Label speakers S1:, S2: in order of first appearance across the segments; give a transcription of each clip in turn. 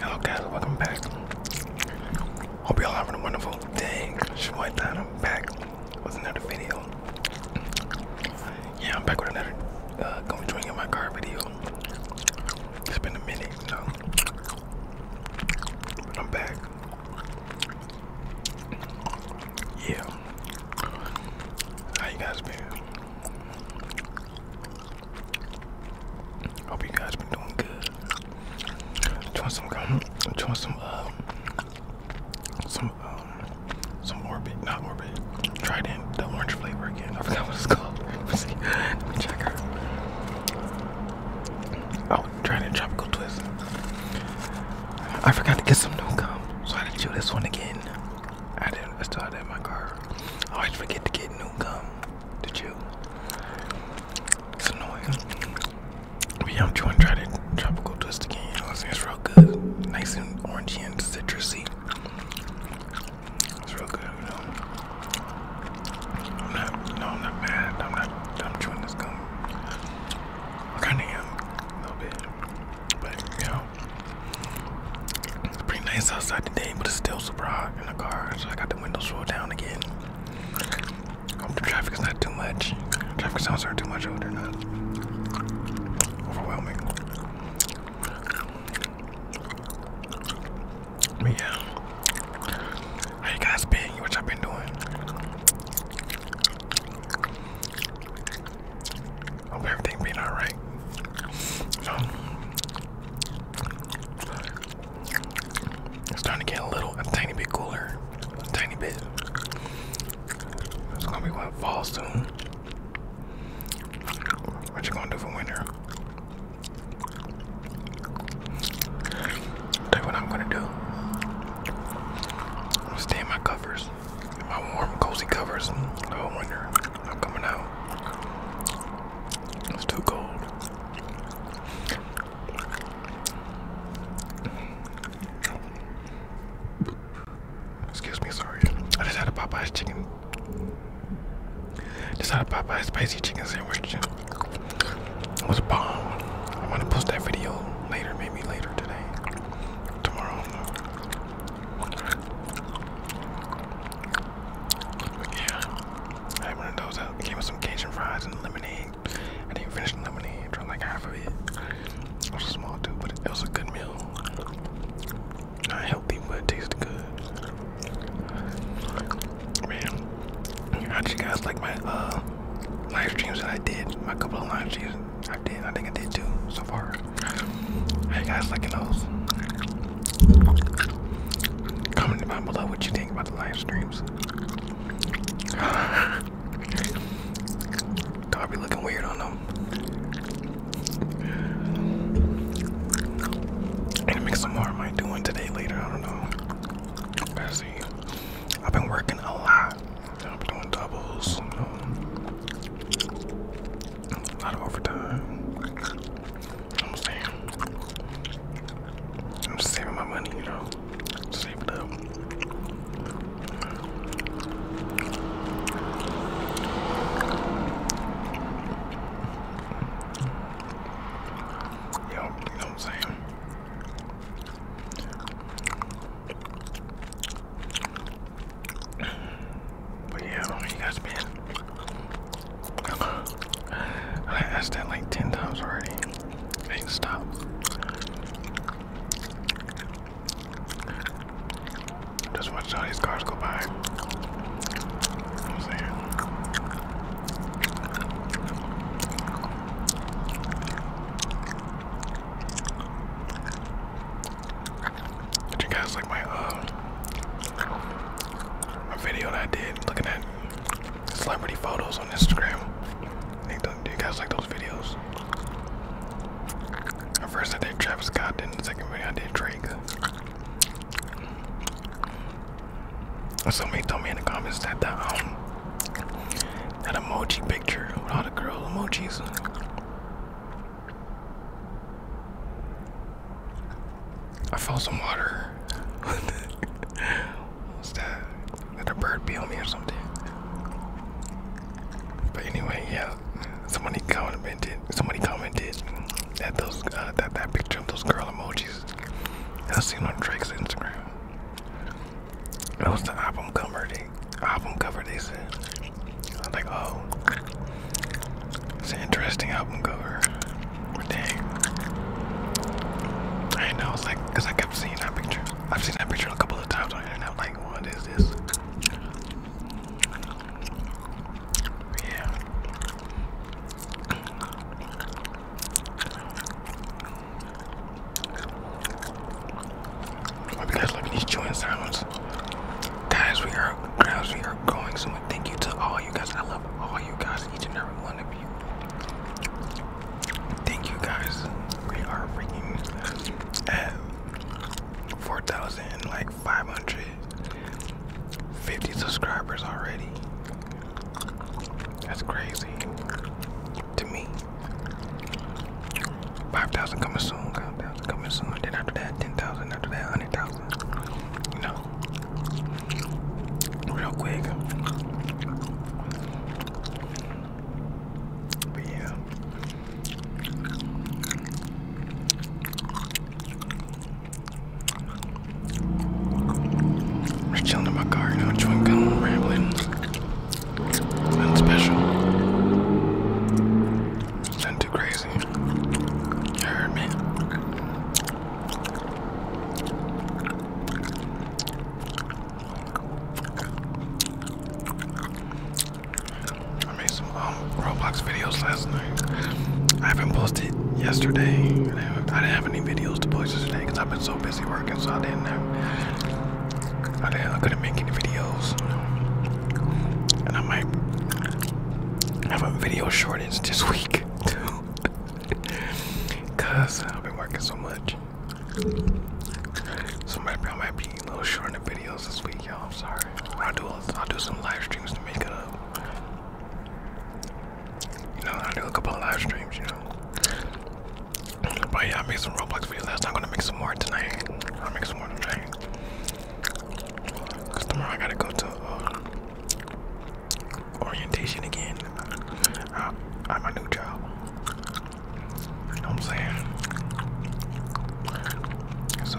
S1: Hello guys, welcome back. Hope y'all having a wonderful day. Shit I'm back with another video. Yeah, I'm back with another uh, going drink my car video. It's been a minute, No, I'm back. Yeah. How you guys been? Hope you guys been doing good. Doing some, doing some, uh, some, um, some orbit, not orbit strawberry. Tried in the orange flavor again. I forgot what it's called. let me check her. Oh, tried in tropical twist. I forgot to get some new gum, so I had to chew this one again. I didn't. I still had that in my car. I forget to get new gum to chew. It's annoying. But yeah, I'm trying to try that tropical twist again. You know what I'm saying? It's real good. Nice and orangey and citrusy. It's real good, you know. I'm not, no, I'm not mad. I'm not, I'm chewing this gum. I kind of am a little bit, but you know, it's pretty nice outside today, but it's still super hot in the car. So I got the windows rolled down again. Hope the traffic is not too much. Traffic sounds are too much over not overwhelming yeah. How guys been? What y'all been doing? Hope everything been alright. Um, it's starting to get a little, a tiny bit cooler. A tiny bit. It's gonna be what fall soon. What you gonna do for winter? i what I'm gonna do. I'm staying in my covers. My warm, cozy covers. The winter. i coming out. It's too cold. Excuse me, sorry. I just had a Popeye's chicken. Just had a Popeye's spicy chicken sandwich. It was a bomb. I want to post that video later, maybe later today, tomorrow. Yeah, I had those. I uh, came with some Cajun fries and lemonade. I didn't finish lemonade. Drunk like half of it. It was a small dude, but it was a good meal. Not healthy, but it tasted good. Man, how you guys like my uh, live streams that I did? My couple of live streams I did. I think I did two so far. How you guys liking those? Comment down below what you think about the live streams. Dog be looking weird on them. And to make some more. I might today later. I don't know. let I've been working a lot. I've doing doubles. a lot of overtime. I'm saving my money, you know. Save it Yo, you know what I'm saying? But yeah, I you guys been. I asked that like 10 times already. Hey, stop. Just watch all these cars go by. Did you guys like my uh my video that I did looking at celebrity photos on Instagram. Do you guys like those videos? I first I did Travis Scott, then the second video I did Drake. Somebody told me in the comments that um, that emoji picture with all the girl emojis. I found some water. What's that? Did a bird be on me or something? But anyway, yeah. Somebody commented. Somebody commented that those uh, that that picture of those girl emojis I seen on Drake's Instagram. That was the album cover. the album cover. They said. I was like, oh, it's an interesting album cover. Dang. I know, it's like, because I kept seeing that picture. I've seen that picture a couple of times on the internet. Like, what is this? Yeah. you guys like these chewing sounds. Guys, we are guys, we are going soon. Thank you to all you guys. I love all you guys, each and every one of Thank you guys. We are bringing at uh, 4,000 like 550 subscribers already. That's crazy to me. 5,000 coming soon, 5,000 coming soon. Then after that, 10,000, after that, 100,000. You know, real quick. yeah. I'm chilling in my car now, chewing gum, rambling. Nothing special. Nothing too crazy. You heard me. I made some um, Roblox videos last night. I haven't posted yesterday. I didn't have, any videos to post yesterday because I've been so busy working, so I didn't have. I, didn't, I couldn't make any videos, and I might have a video short it's just weak too. Cause I've been working so much. So maybe I might be a little short in the videos this week, y'all. I'm sorry. I'll do I'll do some live streams to make it up. You know, I'll do a couple of live streams, you know. But yeah, I made some Roblox videos last night. I'm gonna make some more tonight. I'll make some more tonight. Cause tomorrow I gotta go to um, orientation again. Uh, at my new job. You know what I'm saying? So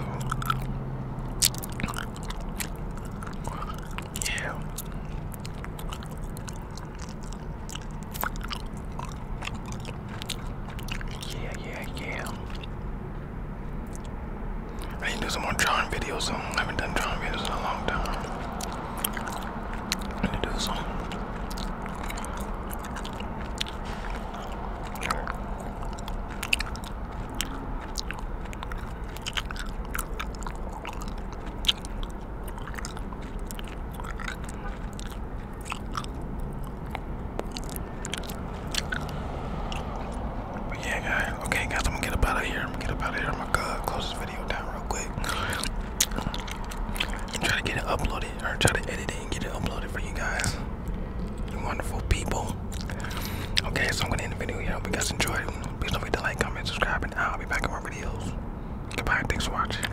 S1: Yeah, yeah, yeah. I need to do some more drawing videos. Um, I haven't done drawing videos in a long time. need to do some. But yeah, guys. Okay, guys, I'm gonna get out of here. I'm gonna get out of here. I'm uh, close this video down real quick. try to get it uploaded, try to edit it and get it uploaded for you guys. You wonderful people. Okay, so I'm gonna end the video here. hope you guys enjoyed. Please don't forget to like, comment, subscribe, and I'll be back with more videos. Goodbye. Thanks for watching.